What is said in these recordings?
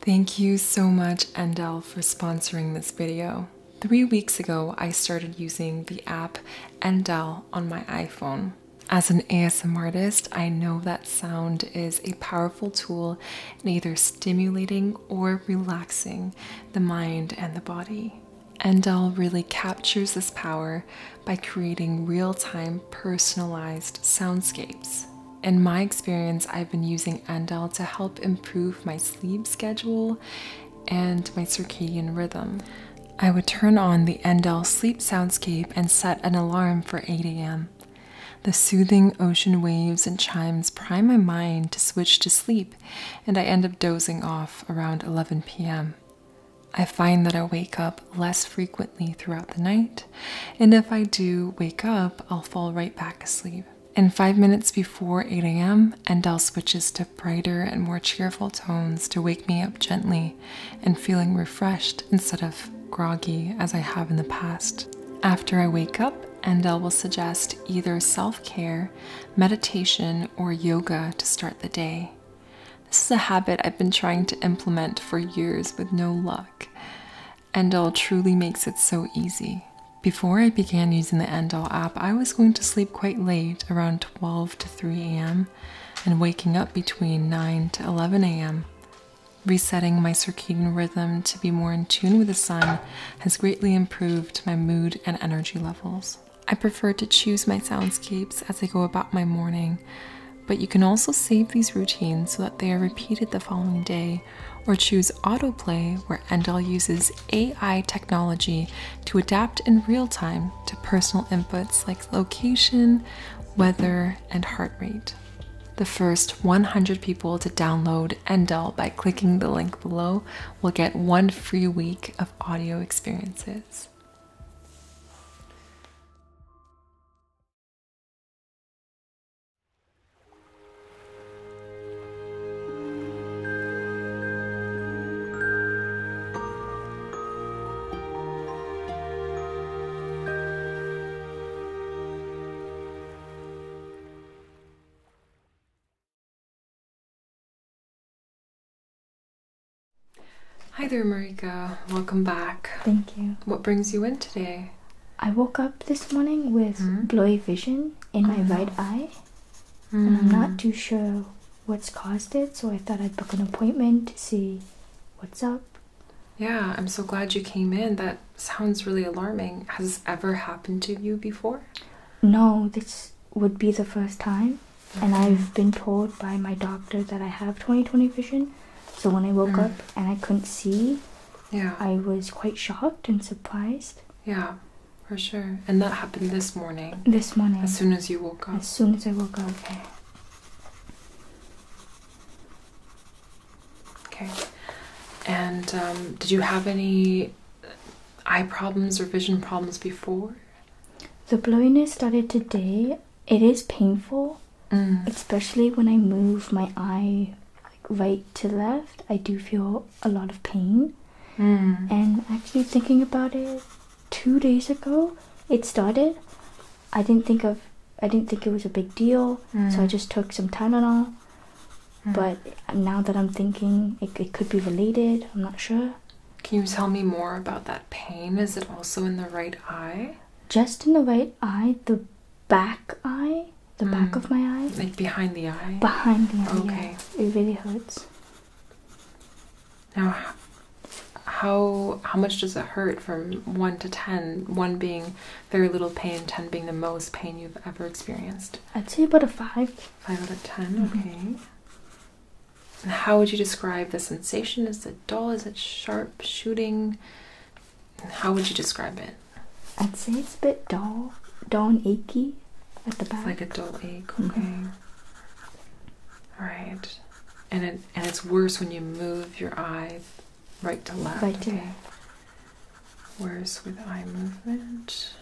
Thank you so much, Endel, for sponsoring this video. Three weeks ago, I started using the app Endel on my iPhone. As an ASM artist, I know that sound is a powerful tool in either stimulating or relaxing the mind and the body. Endel really captures this power by creating real-time personalized soundscapes. In my experience, I've been using Andel to help improve my sleep schedule and my circadian rhythm. I would turn on the Endel sleep soundscape and set an alarm for 8 a.m. The soothing ocean waves and chimes prime my mind to switch to sleep, and I end up dozing off around 11 p.m. I find that I wake up less frequently throughout the night and if I do wake up, I'll fall right back asleep. And five minutes before 8 a.m., Endel switches to brighter and more cheerful tones to wake me up gently and feeling refreshed instead of groggy as I have in the past. After I wake up, Endel will suggest either self care, meditation, or yoga to start the day. This is a habit I've been trying to implement for years with no luck. Endol truly makes it so easy. Before I began using the Endol app, I was going to sleep quite late, around 12 to 3 a.m., and waking up between 9 to 11 a.m. Resetting my circadian rhythm to be more in tune with the sun has greatly improved my mood and energy levels. I prefer to choose my soundscapes as I go about my morning, but you can also save these routines so that they are repeated the following day or choose autoplay, where Endel uses AI technology to adapt in real time to personal inputs like location, weather, and heart rate. The first 100 people to download Endel by clicking the link below will get one free week of audio experiences. Hi there, Marika. Welcome back. Thank you. What brings you in today? I woke up this morning with hmm? blurry vision in my uh-huh. right eye, and I'm not hmm. too sure what's caused it. So I thought I'd book an appointment to see what's up. Yeah, I'm so glad you came in. That sounds really alarming. Has this ever happened to you before? No, this would be the first time. And I've been told by my doctor that I have 20/20 vision. So when I woke hmm. up and I couldn't see, yeah. I was quite shocked and surprised. Yeah, for sure. And that happened this morning. This morning. As soon as you woke up. As soon as I woke up. Okay. Okay. And um, did you have any eye problems or vision problems before? The blurriness started today. It is painful, mm. especially when I move my eye like right to left, I do feel a lot of pain. Hmm. And actually, thinking about it, two days ago it started. I didn't think of, I didn't think it was a big deal, so I hmm. just took some Tylenol. Mm. But now that I'm thinking, it, it could be related. I'm not sure. Can you tell me more about that pain? Is it also in the right eye? Just in the right eye. The back eye, the back mm. of my eye. Like behind the eye? Behind the eye. Okay. It really hurts. Now, how how much does it hurt from 1 to 10? 1 being very little pain, 10 being the most pain you've ever experienced? I'd say about a 5. 5 out of 10, mm-hmm. okay. how would you describe the sensation? Is it dull? Is it sharp shooting? How would you describe it? I'd say it's a bit dull, dull and achy at the back. like a dull ache. Mm-hmm. Okay. All right. And it and it's worse when you move your eye right to left. Right to okay. Worse with eye movement.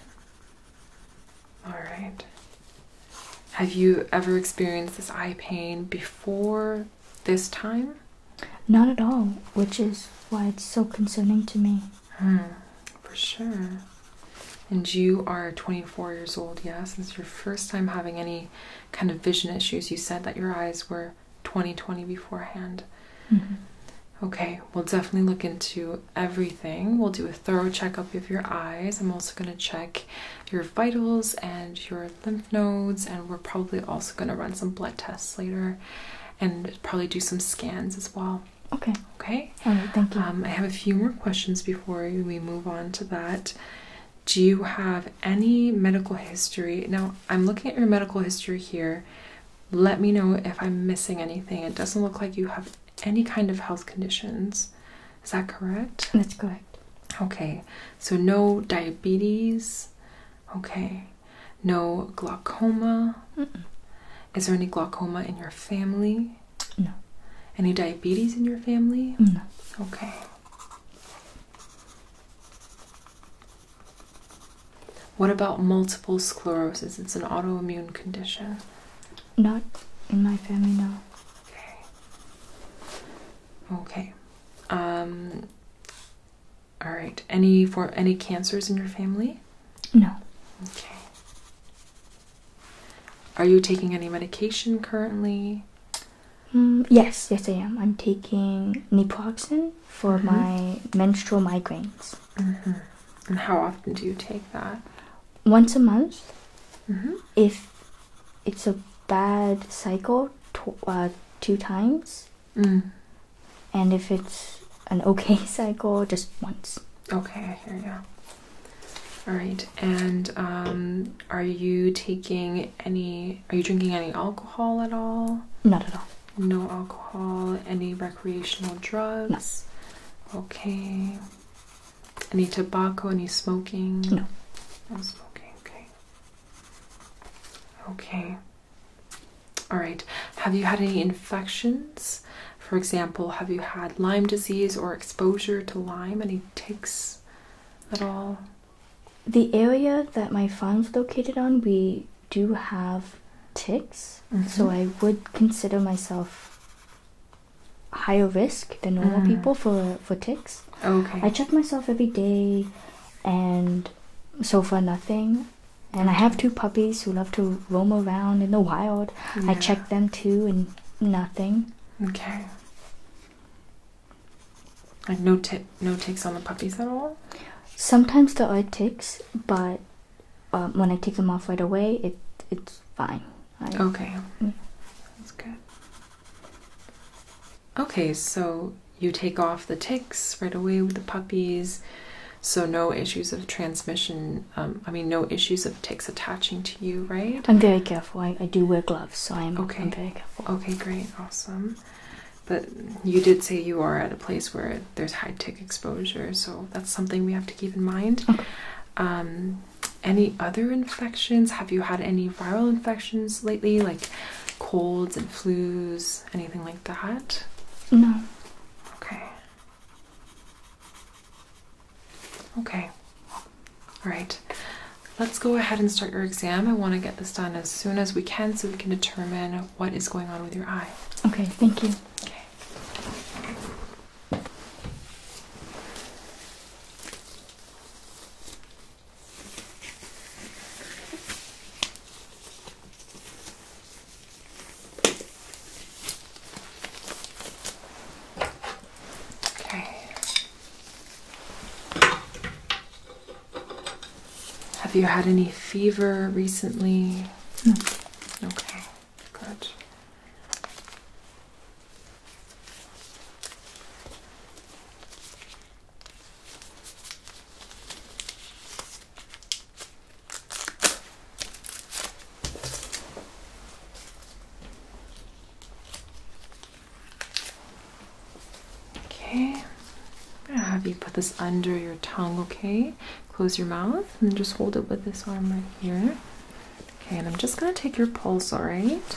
All right. Have you ever experienced this eye pain before this time? Not at all, which is why it's so concerning to me. Hmm, for sure. And you are 24 years old, yes? This is your first time having any kind of vision issues. You said that your eyes were 20 20 beforehand. Mm-hmm. Okay, we'll definitely look into everything. We'll do a thorough checkup of your eyes. I'm also going to check your vitals and your lymph nodes, and we're probably also going to run some blood tests later and probably do some scans as well. Okay. Okay. All right. Thank you. Um, I have a few more questions before we move on to that. Do you have any medical history? Now, I'm looking at your medical history here. Let me know if I'm missing anything. It doesn't look like you have any kind of health conditions. Is that correct? That's correct. Okay. So, no diabetes. Okay. No glaucoma? Is there any glaucoma in your family? No. Any diabetes in your family? No. Okay. What about multiple sclerosis? It's an autoimmune condition. Not in my family, no. Okay. Okay. Um, all right. Any for any cancers in your family? No. Okay. Are you taking any medication currently? Mm, yes, yes I am. I'm taking naproxen for mm-hmm. my menstrual migraines. Mm-hmm. And how often do you take that? Once a month. Mm-hmm. If it's a bad cycle, uh, two times. Mm. And if it's an okay cycle, just once. Okay, I hear you. All right, and um, are you taking any? Are you drinking any alcohol at all? Not at all. No alcohol. Any recreational drugs? No. Okay. Any tobacco? Any smoking? No. No smoking. Okay. Okay. All right. Have you had any infections? For example, have you had Lyme disease or exposure to Lyme? Any ticks at all? The area that my farm is located on, we do have ticks, mm-hmm. so I would consider myself higher risk than normal mm. people for for ticks. Okay. I check myself every day, and so far nothing and I have two puppies who love to roam around in the wild. I check them too, and nothing. Okay. Like no tick, no ticks on the puppies at all. Sometimes there are ticks, but um, when I take them off right away, it it's fine. okay. Mm. That's good. Okay, so you take off the ticks right away with the puppies. So no issues of transmission. Um, I mean, no issues of ticks attaching to you, right? I'm very careful. I, do wear gloves, so I'm, okay. Okay, great, awesome. But you did say you are at a place where there's high tick exposure, so that's something we have to keep in mind. Um, any other infections? Have you had any viral infections lately, like colds and flus? anything like that? No. Okay. Okay. All right. Let's go ahead and start your exam. I want to get this done as soon as we can so we can determine what is going on with your eye. Okay, thank you. Okay. Have you had any fever recently? Okay, good. Okay, I'm gonna have you put this under your tongue, okay? Close your mouth and just hold it with this arm right here. Okay, and I'm just gonna take your pulse, alright?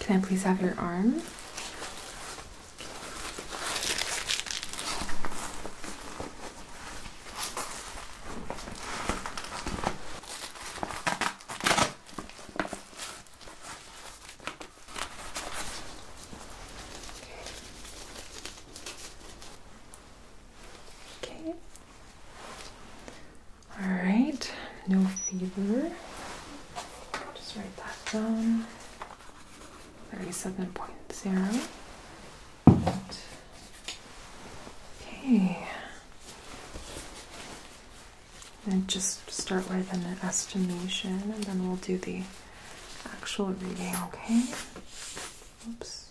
Can I please have your arm? Okay. All right, no fever. Just write that down. 37.0. Okay. And just start with an estimation and then we'll do the actual reading, okay? Oops.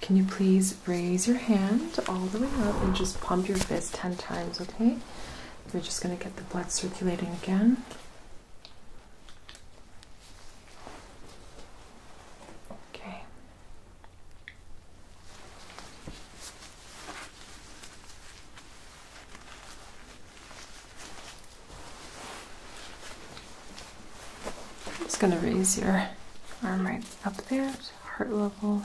can you please raise your hand all the way up and just pump your fist 10 times, okay? We're just going to get the blood circulating again. Okay. just going to raise your arm right up there to heart level.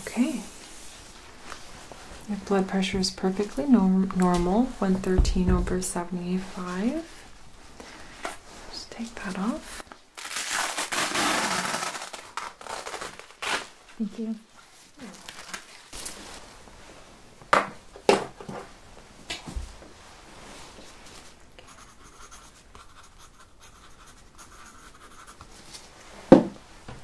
Okay. Your blood pressure is perfectly normal, 113 over 75. Just take that off. Thank you.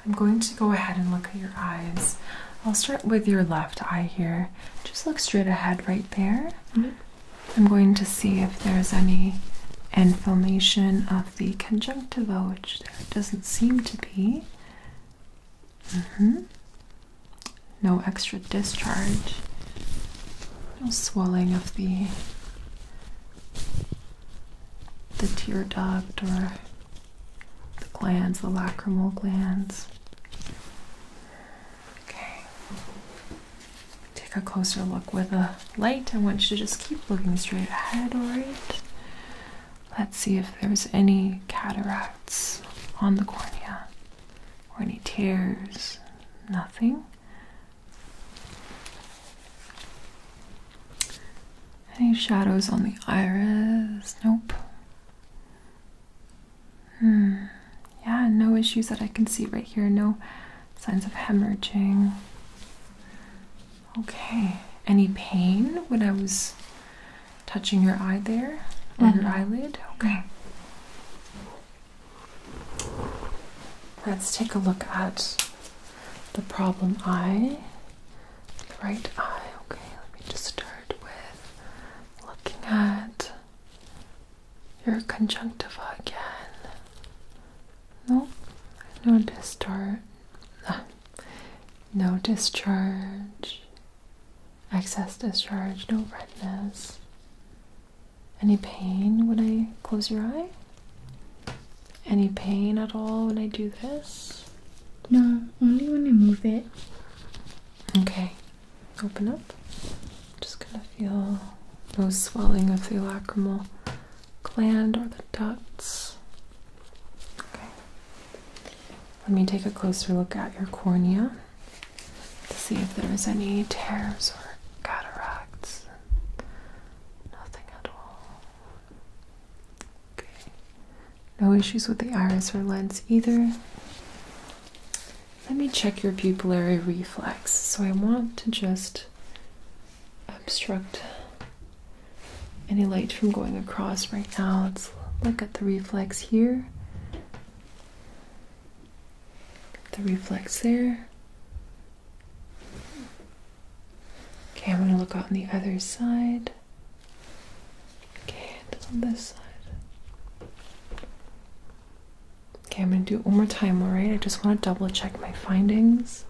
I'm going to go ahead and look at your eyes. I'll start with your left eye here. Just look straight ahead right there. Mm-hmm. I'm going to see if there's any inflammation of the conjunctiva, which doesn't seem to be. Mm-hmm. No extra discharge, no swelling of the the tear duct or the glands, the lacrimal glands. Okay. Take a closer look with a light. I want you to just keep looking straight ahead, alright? Let's see if there's any cataracts on the cornea any tears, nothing. Any shadows on the iris? Nope. Hmm. Yeah, no issues that I can see right here. No signs of hemorrhaging. Okay. Any pain when I was touching your eye there or your mm-hmm. eyelid. Okay. Let's take a look at the problem eye, the right eye. Okay, let me just start with looking at your conjunctiva again. Nope, no discharge. No discharge. Excess discharge, no redness. Any pain when I close your eye? Any pain at all when I do this? No, only when I move it. Okay, open up. Just gonna feel no swelling of the lacrimal gland or the ducts. Okay, let me take a closer look at your cornea to see if there is any tears or cataracts. Nothing at all. Okay. No issues with the iris or lens either. Let me check your pupillary reflex. So I want to just obstruct any light from going across right now. Let's look at the reflex here the reflex there. Okay, I'm going to look out on the other side. Okay, and on this side. Okay, I'm going to do it one more time, alright? I just want to double check my findings.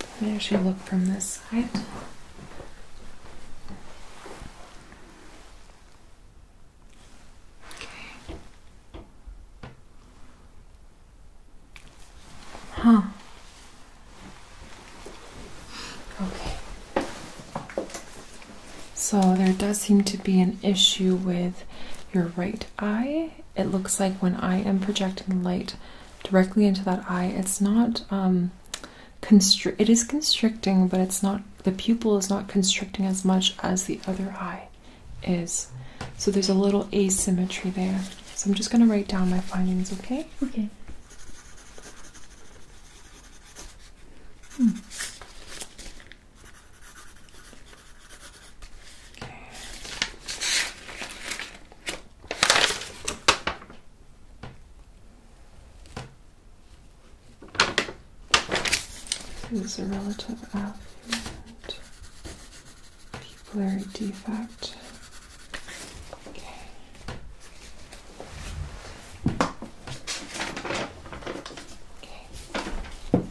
I'm going to actually look from this side. Huh. Okay. So there does seem to be an issue with your right eye. It looks like when I am projecting light directly into that eye, it's not um, it is constricting but it's not the pupil is not constricting as much as the other eye is so there's a little asymmetry there so i'm just going to write down my findings okay okay hmm. Okay is a relative affluent pupillary defect. Okay. okay.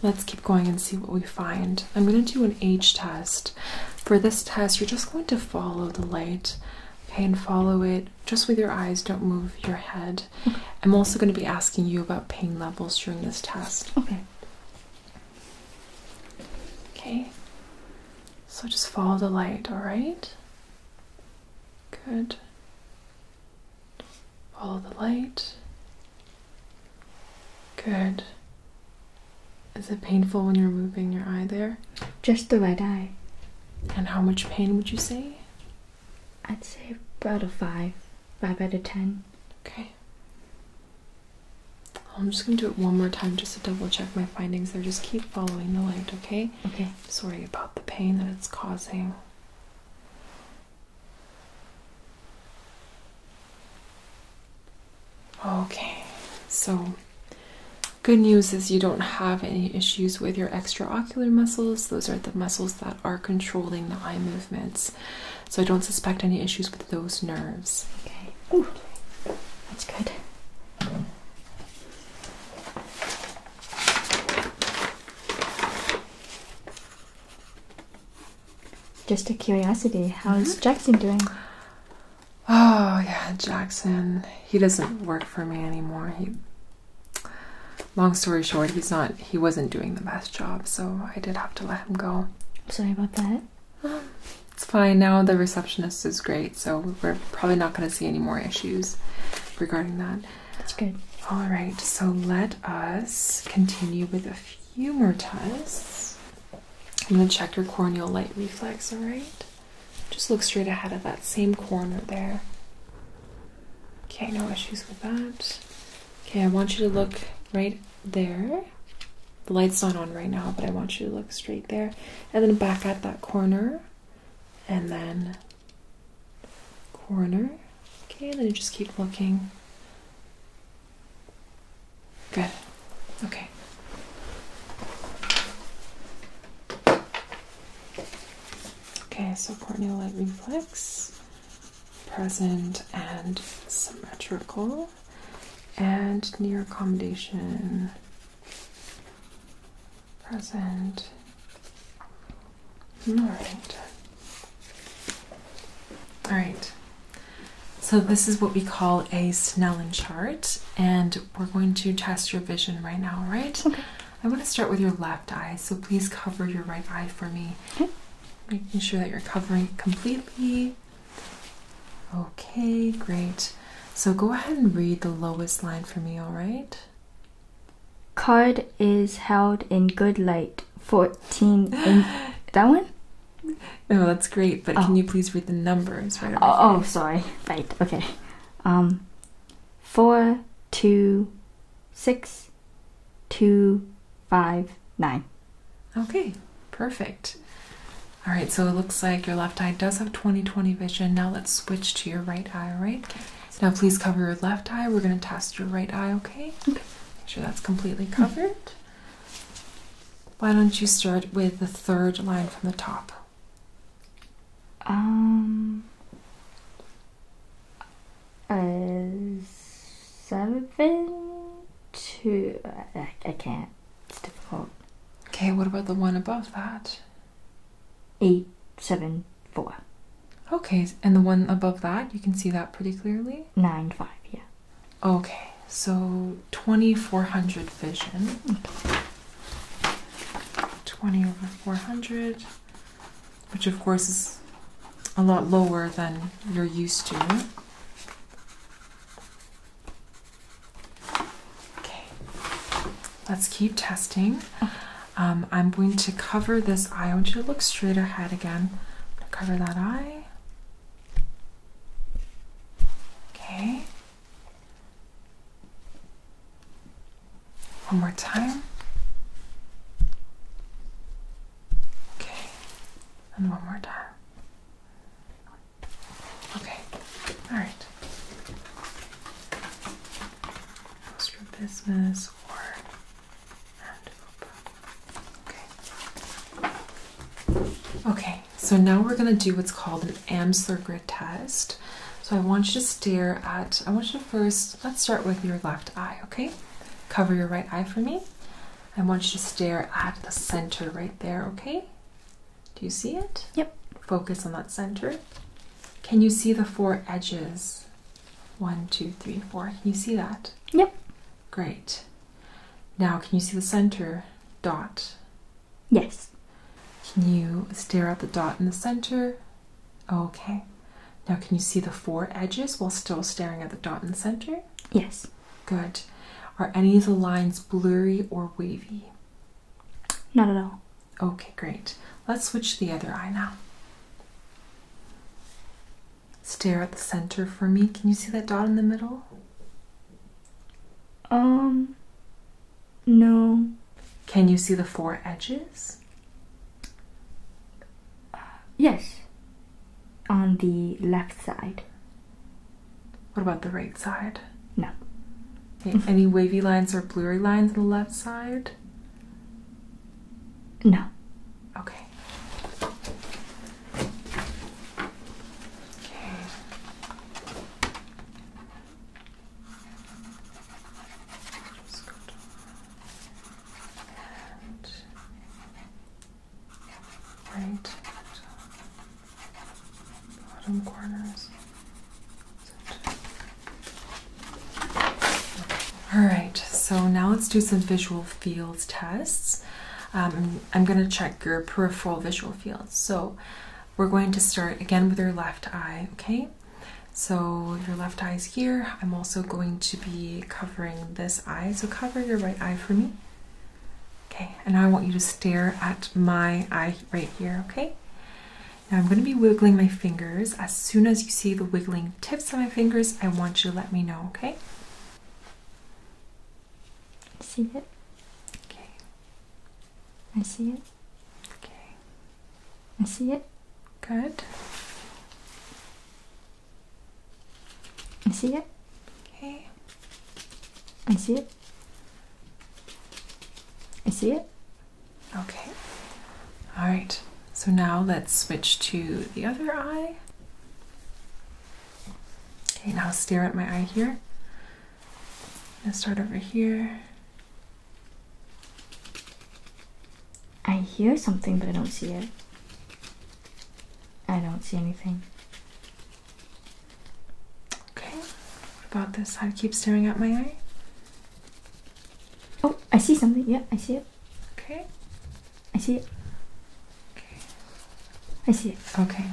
Let's keep going and see what we find. I'm going to do an age test. For this test, you're just going to follow the light, okay, and follow it just with your eyes, don't move your head. I'm also going to be asking you about pain levels during this test. Okay. Okay. So just follow the light, all right? Good. Follow the light. Good. Is it painful when you're moving your eye there? Just the right eye. And how much pain would you say? I'd say about a five, five out of ten. Okay. I'm just gonna do it one more time just to double check my findings there. Just keep following the light, okay? Okay. Sorry about the pain that it's causing. Okay, so good news is you don't have any issues with your extra muscles. Those are the muscles that are controlling the eye movements. So I don't suspect any issues with those nerves. Okay. that's good. Just a curiosity, how is mm-hmm. Jackson doing? Oh yeah, Jackson. He doesn't work for me anymore. He long story short, he's not. He wasn't doing the best job, so I did have to let him go. sorry about that. Um, it's fine now. The receptionist is great, so we're probably not going to see any more issues regarding that. That's good. All right, so let us continue with a few more tests. I'm going to check your corneal light reflex. All right, just look straight ahead at that same corner there. Okay, no issues with that. Okay, I want you to look right there. The light's not on right now, but I want you to look straight there. And then back at that corner. And then corner. Okay, and then just keep looking. Good. Okay. Okay, so corneal light reflex, present and symmetrical, and near accommodation, present. All right. All right. So this is what we call a Snellen chart, and we're going to test your vision right now, right? Okay. I want to start with your left eye, so please cover your right eye for me. Making sure that you're covering it completely. Okay, great. So go ahead and read the lowest line for me, all right? Card is held in good light 14 that one? No, that's great, but can oh. you please read the numbers right Oh, oh sorry. Right. Okay. Um 4 2 six two five nine. Okay, perfect. All right, so it looks like your left eye does have 20 20 vision. Now let's switch to your right eye, Right. Now please cover your left eye. We're going to test your right eye, okay? Okay. Make sure that's completely covered. Why don't you start with the third line from the top? Um, uh, seven two. I, I can't. It's difficult. Okay, what about the one above that? Eight seven four. Okay, and the one above that, you can see that pretty clearly. Nine five. Yeah. Okay, so twenty four hundred vision. Mm. Twenty over four hundred which of course is a lot lower than you're used to. Okay, let's keep testing. Um, I'm going to cover this eye. I want you to look straight ahead again. cover that eye. Okay. One more time. Okay. And one more time. Okay. All right. Close business or Okay. Okay. So now we're going to do what's called an Amsler grid test. So I want you to stare at, I want you to first, let's start with your left eye, okay? Cover your right eye for me. I want you to stare at the center right there, okay? Do you see it? Yep. Focus on that center. Can you see the four edges? One, two, three, four. Can you see that? Yep. Great. Now, can you see the center dot? Yes. Can you stare at the dot in the center? Okay. Now, can you see the four edges while still staring at the dot in the center? Yes. Good. Are any of the lines blurry or wavy? Not at all. Okay, great. Let's switch the other eye now. Stare at the center for me. Can you see that dot in the middle? Um, no. Can you see the four edges? Yes. On the left side. What about the right side? No. any wavy lines or blurry lines on the left side? No. Okay. All right, so now let's do some visual fields tests. Um, I'm going to check your peripheral visual fields. So we're going to start again with your left eye, okay? So your left eye is here. I'm also going to be covering this eye. So cover your right eye for me. Okay, and I want you to stare at my eye right here, okay? Now I'm going to be wiggling my fingers. As soon as you see the wiggling tips of my fingers, I want you to let me know, okay? I see it. Okay. I see it. Okay. I see it. Good. I see it. Okay. I see it. I see it. Okay. All right. So now let's switch to the other eye. Okay, now stare at my eye here. And start over here. I hear something, but I don't see it. I don't see anything. Okay. What about this I Keep staring at my eye. Oh, I see something. Yeah, I see it. Okay. I see it. Okay. I see it. Okay.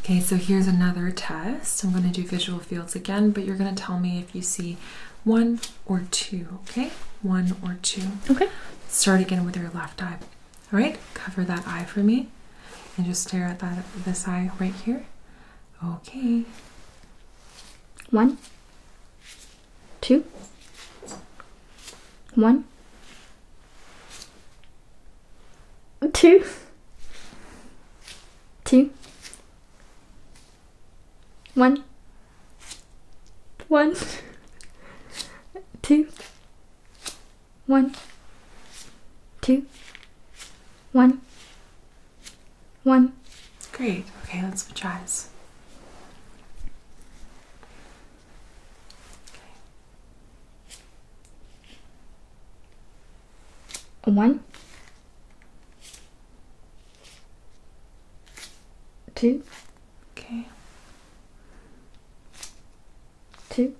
Okay, so here's another test. I'm going to do visual fields again, but you're going to tell me if you see one or two, okay? One or two. Okay. Start again with your left eye. All right, cover that eye for me and just stare at that this eye right here. Okay. One, two, one, two, two, one, one, two, one, two, one, one. Great. Okay, let's switch eyes. One, Two. Okay. Two.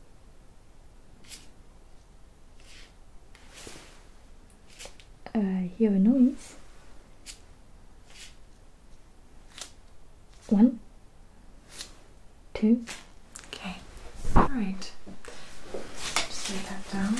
I hear a noise. One. Two. Okay. All right. Just lay that down.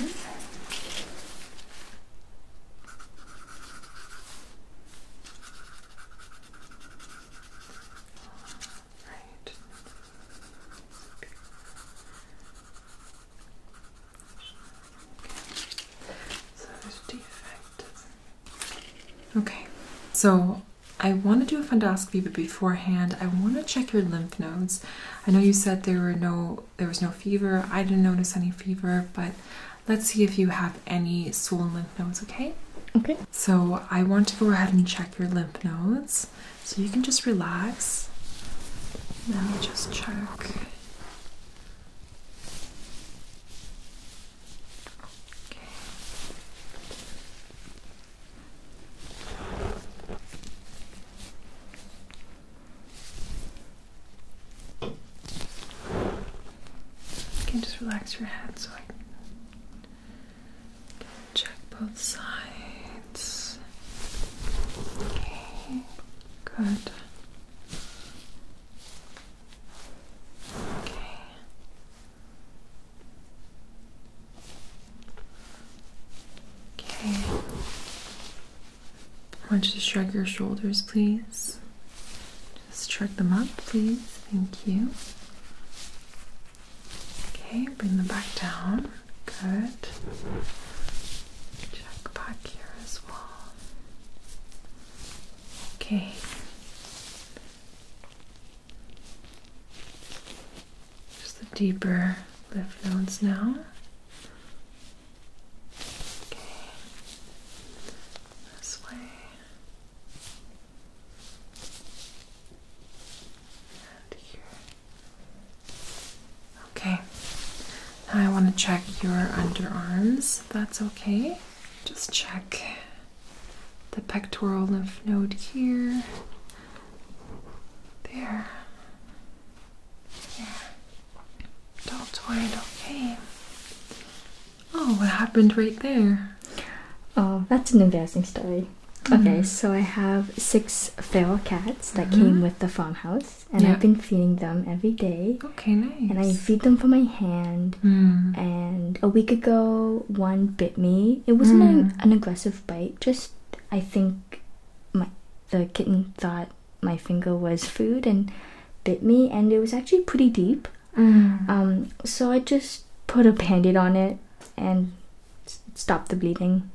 Okay. So Okay. So I want to do a fundoscopy, but beforehand, I want to check your lymph nodes. I know you said there were no there was no fever. I didn't notice any fever, but let's see if you have any swollen lymph nodes, okay? Okay. So I want to go ahead and check your lymph nodes. So you can just relax. Let me just check. Okay can just relax your head so I can check both sides. Okay, good. Okay. Okay. I want you to shrug your shoulders, please. Just shrug them up, please. Thank you. Okay, bring them back down. Good. Check back here as well. Okay. Just the deeper lymph nodes now. Okay. This way. And here. Okay. Now I want to check your underarms, that's okay. Just check the pectoral lymph node here. There. Don't worry, okay. Oh, what happened right there? Oh, that's an embarrassing story. Mm-hmm. Okay, so I have six feral cats that mm-hmm. came with the farmhouse, and I've been feeding them every day. Okay, nice. And I feed them from my hand. Mm. And a week ago, one bit me. It wasn't an, mm. an aggressive bite. Just I think my the kitten thought my finger was food and bit me, and it was actually pretty deep. Mm. Um, so I just put a band-aid on it and stopped the bleeding.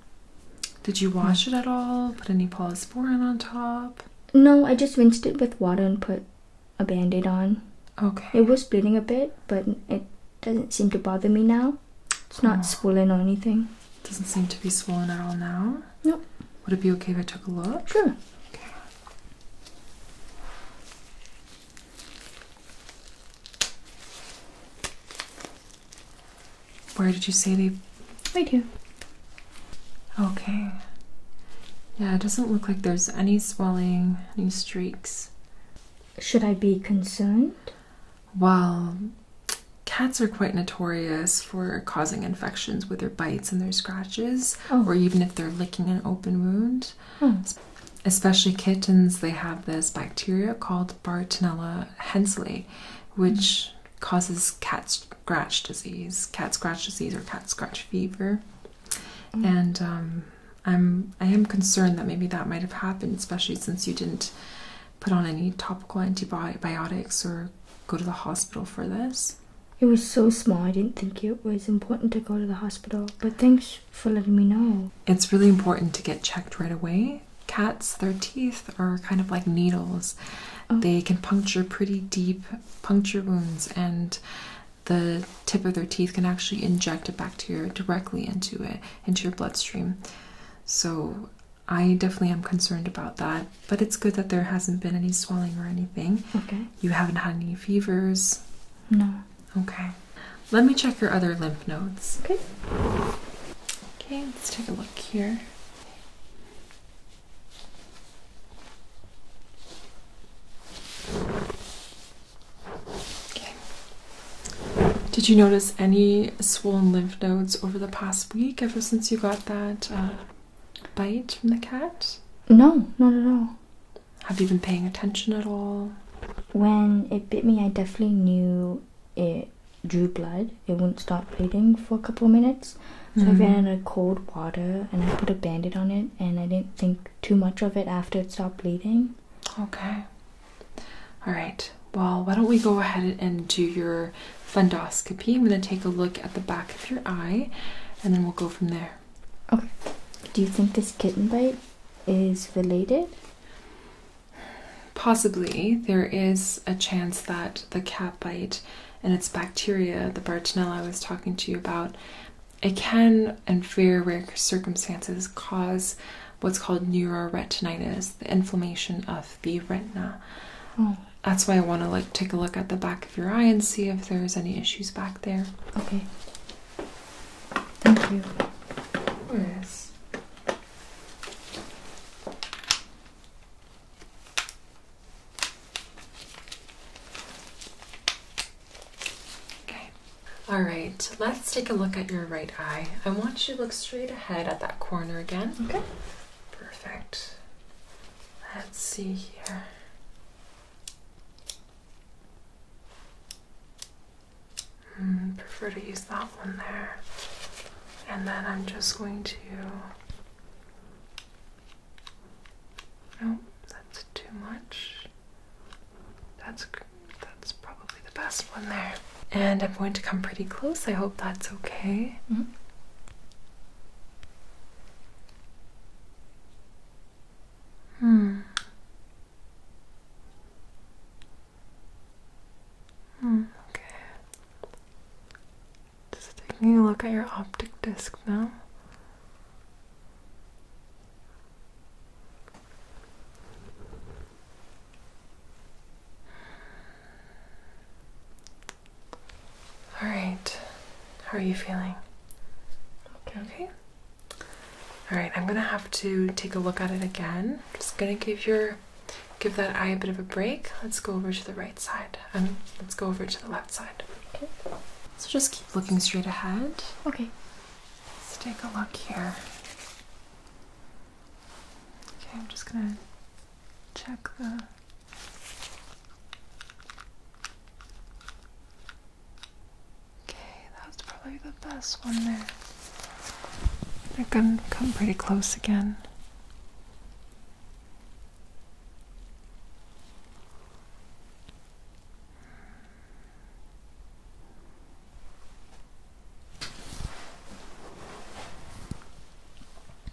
Did you wash it at all? Put any polysporin on top? No, I just rinsed it with water and put a band-aid on. Okay. It was bleeding a bit, but it doesn't seem to bother me now. It's not oh. swollen or anything. Doesn't seem to be swollen at all now. Nope. Would it be okay if I took a look? Sure. Okay. Where did you say they? Right here. Okay. Yeah, it doesn't look like there's any swelling, any streaks. Should I be concerned? Well, cats are quite notorious for causing infections with their bites and their scratches, oh. or even if they're licking an open wound. Hmm. Especially kittens, they have this bacteria called Bartonella hensley, which causes cat scratch disease, cat scratch disease, or cat scratch fever. Hmm. And um, I'm I am concerned that maybe that might have happened, especially since you didn't put on any topical antibiotics or go to the hospital for this. It was so small, I didn't think it was important to go to the hospital, but thanks for letting me know. It's really important to get checked right away. Cats, their teeth are kind of like needles. Oh. They can puncture pretty deep puncture wounds, and the tip of their teeth can actually inject a bacteria directly into it, into your bloodstream. So I definitely am concerned about that, but it's good that there hasn't been any swelling or anything. Okay. You haven't had any fevers? No. Okay. Let me check your other lymph nodes. Okay. Okay, let's take a look here. Okay. Did you notice any swollen lymph nodes over the past week ever since you got that uh, bite from the cat? No, not at all. Have you been paying attention at all? When it bit me, I definitely knew it drew blood. It wouldn't stop bleeding for a couple minutes. So I ran mm-hmm. out of cold water and I put a bandit on it, and I didn't think too much of it after it stopped bleeding. Okay. All right. Well, why don't we go ahead and do your fundoscopy. I'm going to take a look at the back of your eye and then we'll go from there. Okay. Do you think this kitten bite is related? Possibly. There is a chance that the cat bite and its bacteria, the Bartonella I was talking to you about, it can, in very rare circumstances, cause what's called neuroretinitis, the inflammation of the retina. Hmm. That's why I want to like take a look at the back of your eye and see if there's any issues back there. Okay. Thank you. Of Okay. All right. Let's take a look at your right eye. I want you to look straight ahead at that corner again. Okay. Perfect. Let's see here. Mm, prefer to use that one there. And then I'm just going to. Nope, that's too much. That's that's probably the best one there. And I'm going to come pretty close. I hope that's okay. -hmm. Hmm. Hmm, okay. Just taking a look at your optic disc now. All right. How are you feeling? Okay. All right. I'm gonna have to take a look at it again. Just gonna give your give that eye a bit of a break. Let's go over to the right side. and um, let's go over to the left side. Okay. So just keep looking straight ahead. Okay. Let's take a look here. Okay, I'm just gonna check the Okay, that's probably the best one there. They're gonna come pretty close again.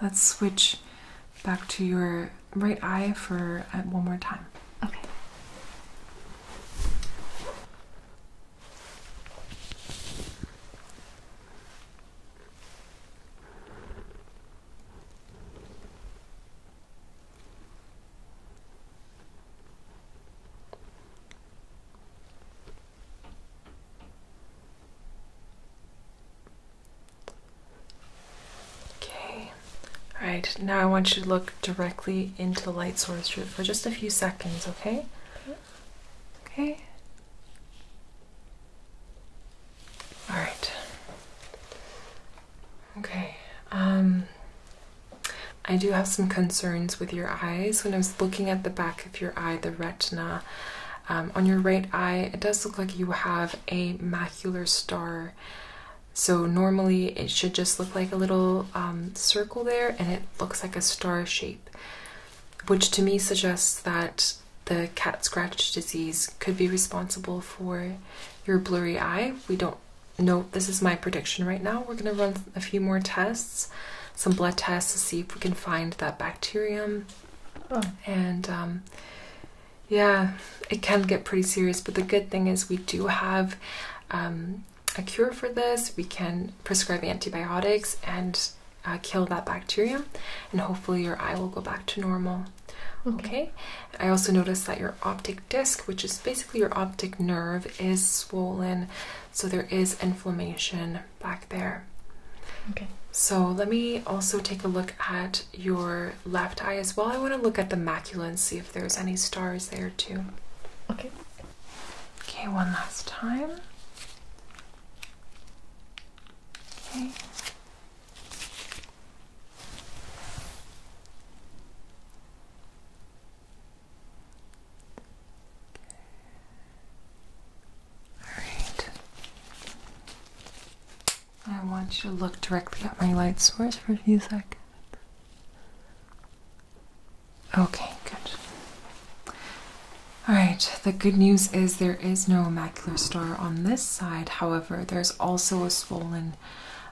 let's switch back to your right eye for uh, one more time. Okay. Okay, all right, now I want you to look directly into the light source for just a few seconds, okay? Okay. All right. Okay. Um I do have some concerns with your eyes. When I was looking at the back back your eye, the retina. Um, on your right eye, it does look like you have a macular star. So normally it should just look like a little um, circle there and it looks like a star shape, which to me suggests that the cat scratch disease could be responsible for your blurry eye. We don't know, this is my prediction right now. We're gonna run a few more tests, some blood tests to see if we can find that bacterium Oh. And um, yeah, it can get pretty serious, but the good thing is we do have um, a cure for this. We can prescribe antibiotics and uh, kill that bacteria, and hopefully your eye will go back to normal. okay. I also noticed that your optic disc, which is basically your optic nerve, is swollen, so there is inflammation back there. Okay. So let me also take a look at your left eye as well. I want to look at the macula and see if there's any stars there too. Okay. Okay, one last time. Okay. Alright. I want you to look directly at my light source for a few seconds. Okay, good. Alright, the good news is there is no macular star on this side. However, there's also a swollen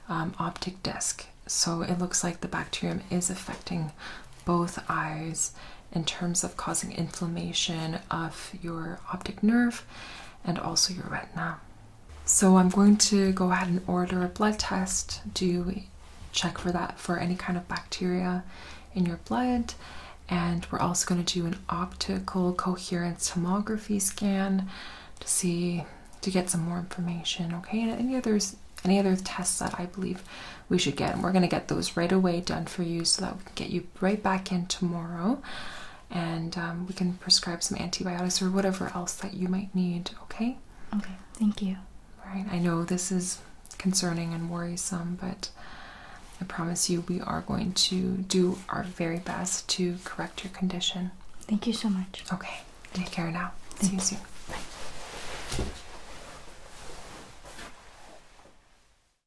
um, optic disc. So it looks like the bacterium is affecting both eyes in terms of causing inflammation of your optic nerve and also your retina. So I'm going to go ahead and order a blood test, do check for that for any kind of bacteria in your blood. And we're also going to do an optical coherence tomography scan to see to get some more information, okay? any others any other tests that I believe we should get. And we're going to get those right away done for you so that get you right back in tomorrow and um, we can prescribe some antibiotics or whatever else that you might need, okay? Okay, thank you. Right. I know this is concerning and worrisome, but I promise you we are going to do our very best to correct your condition. Thank you so much. Okay, take care now. See you soon. Bye.